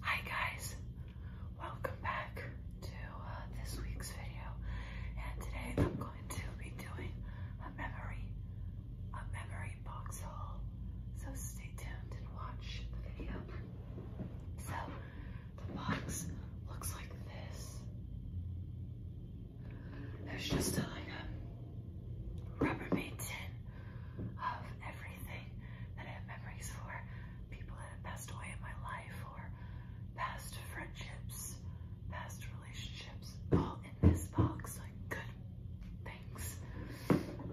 Hi guys, welcome back to uh, this week's video, and today I'm going to be doing a memory, a memory box haul. So stay tuned and watch the video. So the box looks like this. There's just a, like a Rubbermaid tin of everything something that I have memories for, people that have passed away in my life, or past friendships, past relationships, all in this box, like good things.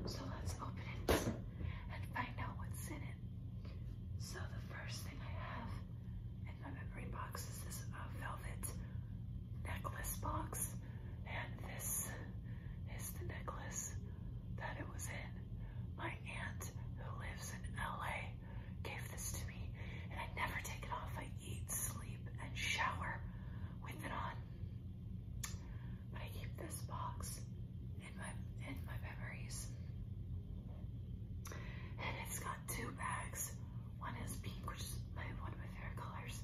So let's open it and find out what's in it. So the first thing I have in my memory box is this uh, velvet necklace box, and this is recognized the necklace that it was in. My aunt, who lives in LA, gave this to me, and I never take it off. I eat, sleep, and shower with it on. But I keep this box in my in my memories. And it's got two bags. One is pink, which is my one of my favorite colors,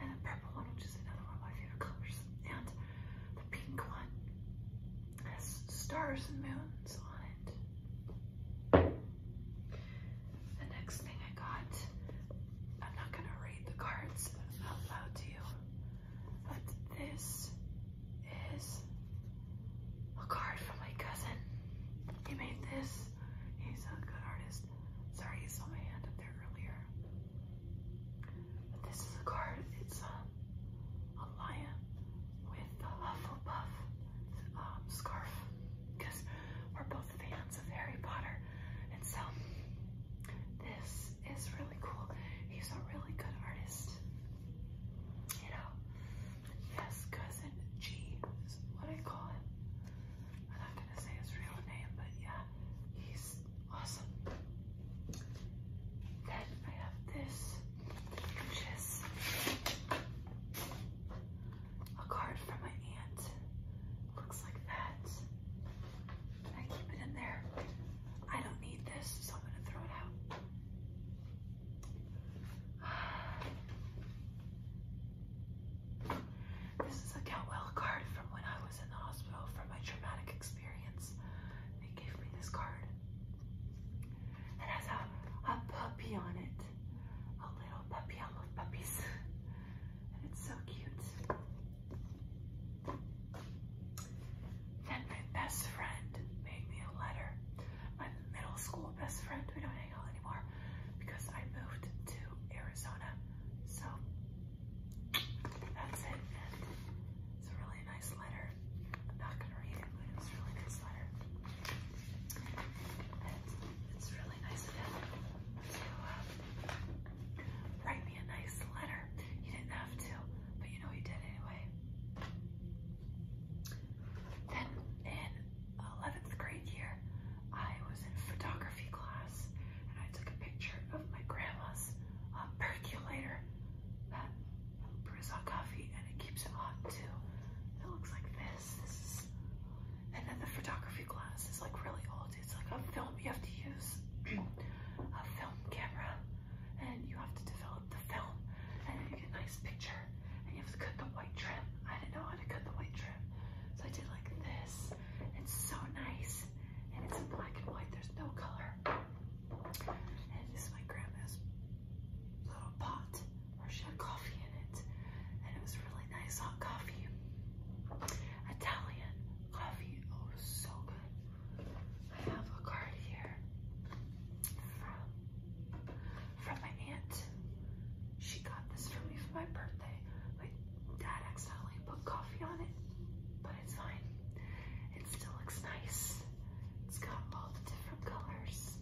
and the purple one, which is another one of my favorite colors. And the pink one. has stars and moons on it. The next thing I got, I'm not gonna read the cards out to you, but this is a card from my cousin. He made this. He's a good artist. Sorry, you saw my hand up there earlier. But this is a card. It's um, a lion with the Hufflepuff um, scarf because we're both fans of Harry Potter. And so this is really cool. He's a really good artist. You know, yes, cousin G is what I call him. I'm not gonna say his real name, but yeah, he's awesome. Then I have this, which is a card from my aunt. Looks like that. I keep it in there. I don't need this, so I'm gonna throw it out. This is a get well card from when I was in the hospital for my traumatic experience. They gave me this card. It has a, a puppy on it. A little puppy. I love puppies. And it's so cute. Then my best friend made me a letter. My middle school best friend. We don't hang out anymore because I moved to Arizona. So that's it. It's a really nice letter. I'm not gonna read it, but it's a really nice letter. it's really nice of him to um, write me a nice letter. He didn't have to, but you know he did anyway. Then in 11th grade year, I was in photography photography class and I took a picture of my grandma's uh, percolator that brews hot coffee and it keeps it hot too. It looks like this. This is, and then the photography class is like really old. It's like a film you have to use a film camera and you have to develop the film and you get a nice picture and you have to cut the white trim. I didn't know how to cut the white trim. So I did like this. It's so nice nice. And it's in black and white, there's no color. And this is my grandma's little pot where she had coffee in it. And it was really nice hot coffee. Italian coffee. Oh, it was so good. I have a card here from, from my aunt. She got this for me for my birthday. Wait, Dad accidentally put coffee on it, but it's fine. It still looks nice. It's got all the different colors.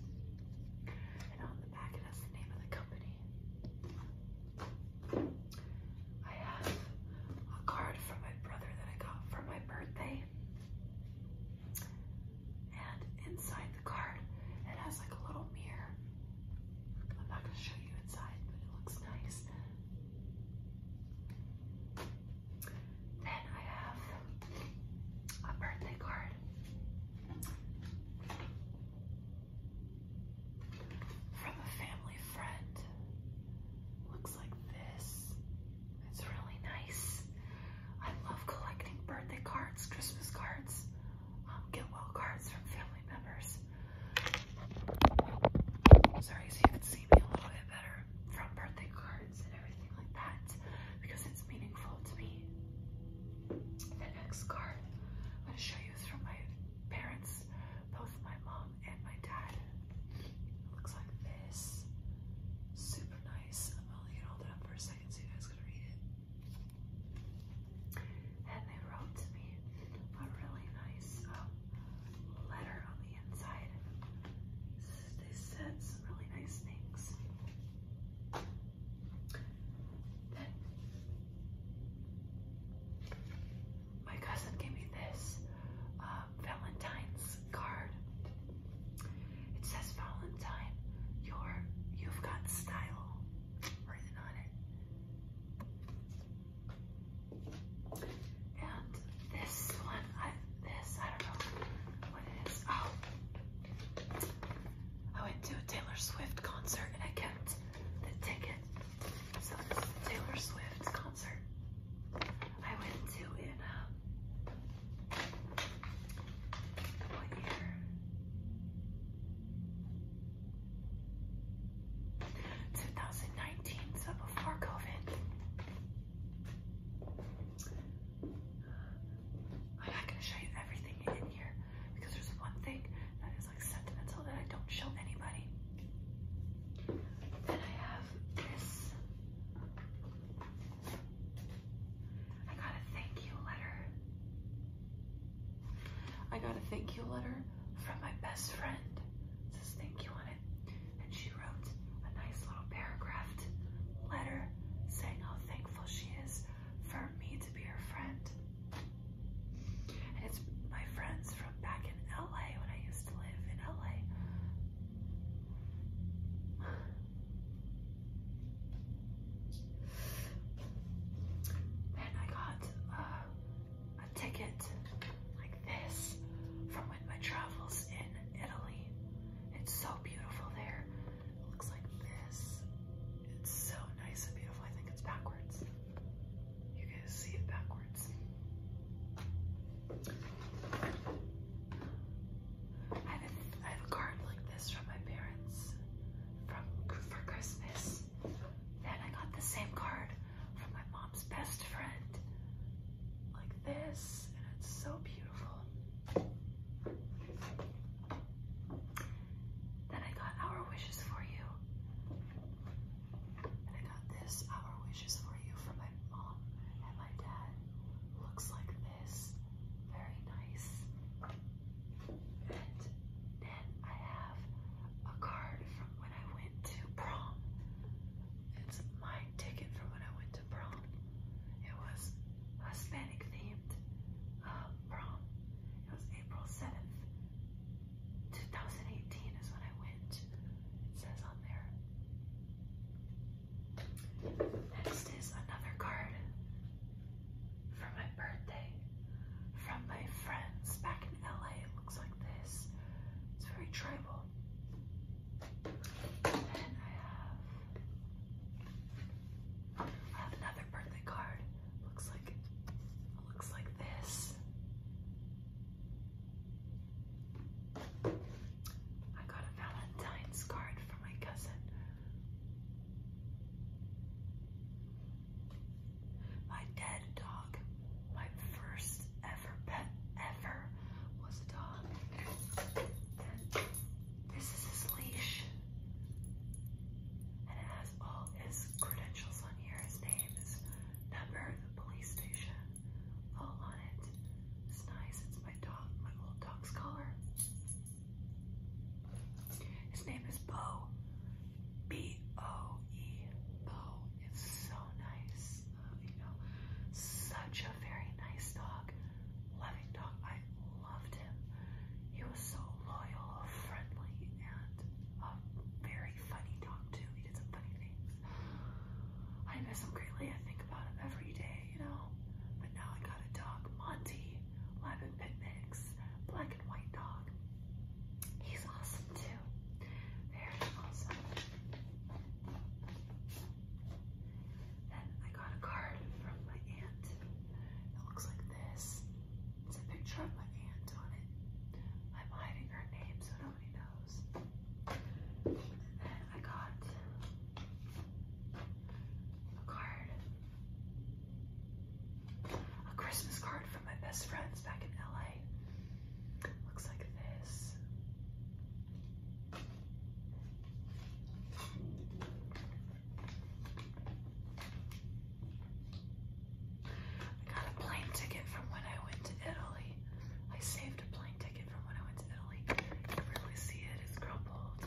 And on the back it has the name of the company. I have a card from my brother that I got for my birthday. And inside the card, it has like a little mirror I'm not gonna show you inside, but it looks nice. Then I have a birthday card. From a family friend. Looks like this. It's really nice. I love collecting birthday cards, Christmas cards um, get well cards from family members. Sorry, so you can see me a little bit better from birthday cards and everything like that because it's meaningful to me. The next card I'm going to show you is from my parents, both my mom and my dad. looks like this. Super nice. I'm get hold it for a second so you guys can read it. And they wrote to me a really nice um, letter on the inside. They said some really nice things. my cousin gave me this uh, Valentine's card. It says Valentine, you you've got style written on it. And this one, I, this, I don't know what it is. Oh, I went to a Taylor Swift concert and I kept the ticket. So this is a Taylor Swift concert I went to in, uh, what year? 2019, so before COVID. I'm not going to show you everything in here because there's one thing that is like sentimental that I don't show anybody. Then I have this. I got a thank you letter I got a thank you letter from my best friend. It says thank you on it. And she wrote a nice little paragraphed letter saying how thankful she is for me to be her friend. And it's my friends from back in LA when I used to live in LA. Then I got uh, a ticket like this from when my travels in Italy. It's so beautiful there. It looks like this. It's so nice and beautiful. I think it's backwards. You guys see it backwards. I have a card like this from my parents from for Christmas. Then I got the same card from my mom's best friend, like this, and it's so beautiful. Then I got Our Wishes for You. And I got this Our Wishes for You from my mom and my dad. Looks like this. Very nice. And then I have a card from when I went to prom. It's my ticket from when I went to prom. It was Hispanic themed uh, prom. It was April 7th, 2018 is when I went. It says on there. Next is another card for my birthday from my friends back in LA. It looks like this. It's very tribal. then I have another birthday card. Looks like it looks like this. I got a Valentine's card from my cousin. My dead dog, my first ever pet ever was a dog. This is his leash. And it has all his credentials on here, his name, his number, the police station, all on it. It's nice. It's my dog, my old dog's collar. His name is Bo. B O E. Bo is so nice. Uh, you know, such a very nice dog. Loving dog. I loved him. He was so loyal, friendly, and a very funny dog, too. He did some funny things. I miss him greatly. I think about him every day, you know. But now I got a dog, Monty live at picnics, black and white dog. He's awesome too. Very awesome. Then I got a card from my aunt. It looks like this. It's a picture of my aunt on it. I'm hiding her name so nobody knows. And then I got card. A Christmas card from my best friends back in LA. Looks like this. I got a plane ticket from when I went to Italy. I saved a plane ticket from when I went to Italy. You can really see it, it's crumpled.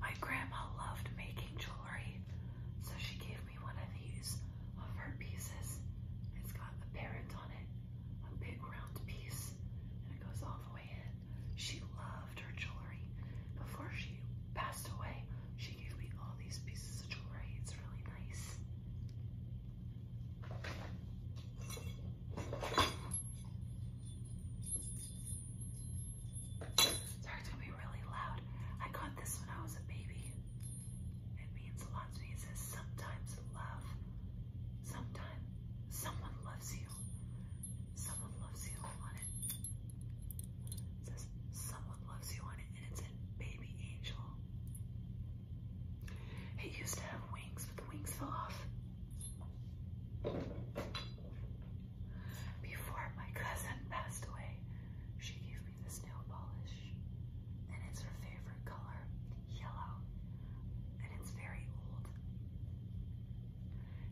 My grandma loved making jewelry, so she gave me one of these of her pieces. It's got a parent on it, a big round piece, and it goes all the way in. She loved her jewelry. Before she passed away, she gave me all these pieces of jewelry. It's really nice. Sorry to be really loud. I got this when I was a baby. It means a lot to me. It says sometimes love. Sometimes someone loves you. Someone loves you on it. It someone loves you on it and it's a baby angel. He used to have wings, but the wings fell off. Before my cousin passed away, she gave me this nail polish, and it's her favorite color, yellow, and it's very old.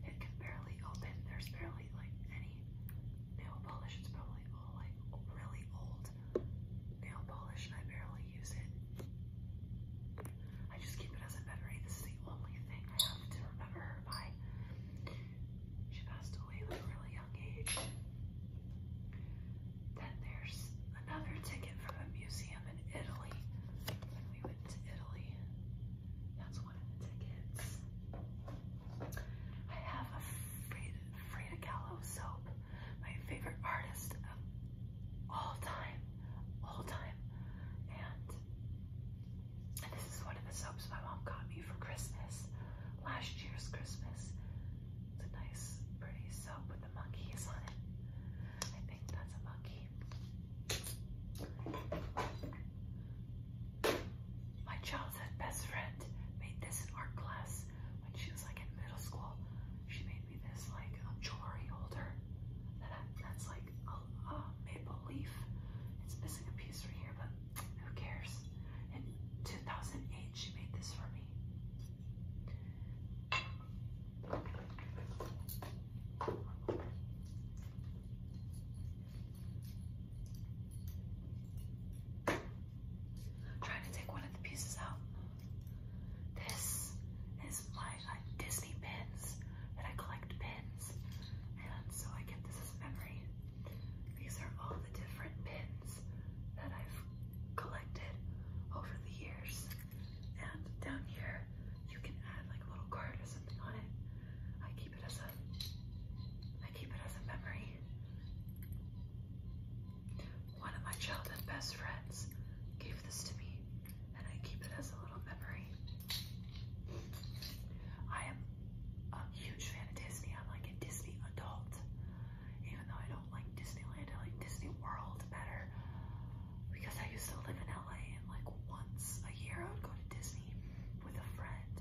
It can barely open, there's barely like any nail polish. It's probably all like really old nail polish, and I barely use it. I just keep it as a memory. This is the only thing I have to remember her by. She passed away at a really young age. Then there's another ticket from a museum in Italy. When we went to Italy, that's one of the tickets. I have a Frida, Frida Kahlo soap, my favorite artist of all time, all time. And, and this is one of the soaps my mom got me for Christmas, last year's Christmas. It's a nice, pretty soap with the monkeys on it. I think that's a monkey. My childhood best friend made this in art class when she was like in middle school. She made me this like a jewelry holder that I, that's like a, a maple leaf. It's missing a piece right here, but who cares? In 2008, she made this for me. I'm trying to take one of the pieces out. This is my like, Disney pins that I collect pins. And so I get this as memory. These are all the different pins that I've collected over the years. And down here, you can add like a little card or something on it. I keep it as a I keep it as a memory. One of my childhood best friends gave this to me, and I keep it as a little memory. I am a huge fan of Disney. I'm like a Disney adult. Even though I don't like Disneyland, I like Disney World better. Because I used to live in LA and like once a year I would go to Disney with a friend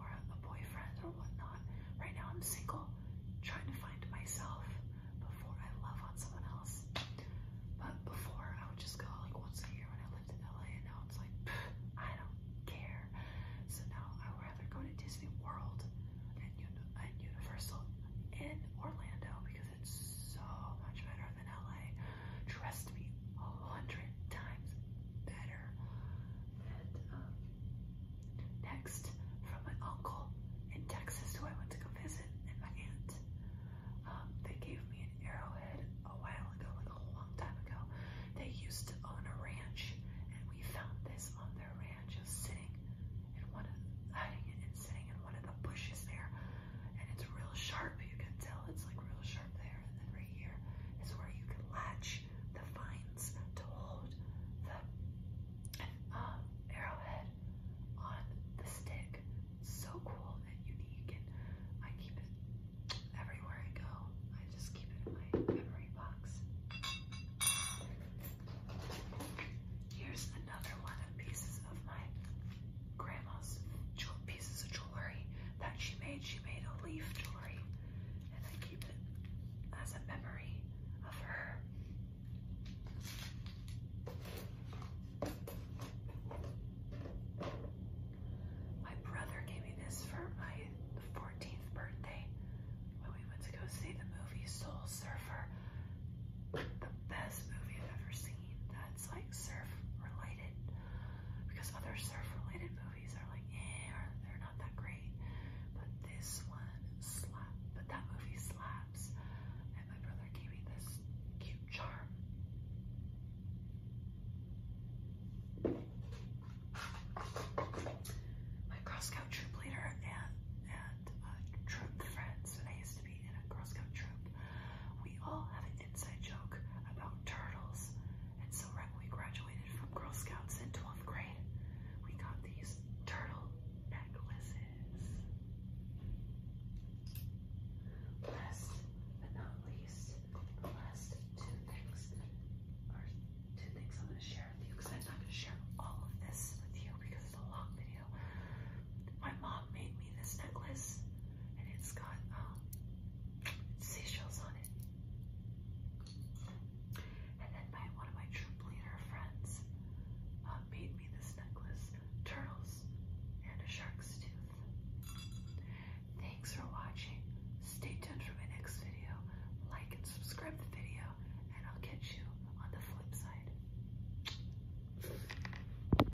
or a boyfriend or whatnot. Right now I'm single, trying to find myself before I love on someone else. But before I would just go like once a year when I lived in LA and now it's like pff, I don't care. So now I would rather go to Disney World and, and Universal in Orlando because it's so much better them in LA. Trust me, a hundred times better. And um, next, from my uncle in Texas, who I went to go visit, and my aunt, um, they gave me an arrowhead a while ago, like a long time ago. They used to own a ranch, and we found this on their ranch, just sitting in one of hiding it and sitting in one of the bushes there and it's real sharp. You can tell it's like real sharp there, and then right here is where you can latch the vines to hold the um, arrowhead on the stick. So cool and unique, and I keep it everywhere I go. I just keep it in my memory box. Here's another one of pieces of my grandma's pieces of jewelry that she made. She made a leaf jewelry, and I keep it as a memory of her. My brother gave me this for my 14th birthday when we went to go see the movie Soul Surfer. The best movie I've ever seen. That that's like surf related because other surf related movies are like eh or they're not that great but this one slap but that movie slaps and my brother gave me this cute charm my Girl Scout troop leader and and uh, troop friends when I used to be in a Girl Scout troop we all had a inside joke about turtles. And so when we graduated from Girl Scouts in 12th grade, we got these turtle necklaces. Last but not least, the last two things are two things I'm going to share with you because I'm not going to share all of this with you because it's a long video. My mom made me this necklace and it's got um, seashells on it. And then my one of my troop leader friends um, made me this necklace, turtles and a shark's tooth. Thanks for watching. Stay tuned for my next video. Like and subscribe the video and I'll catch you on the flip side.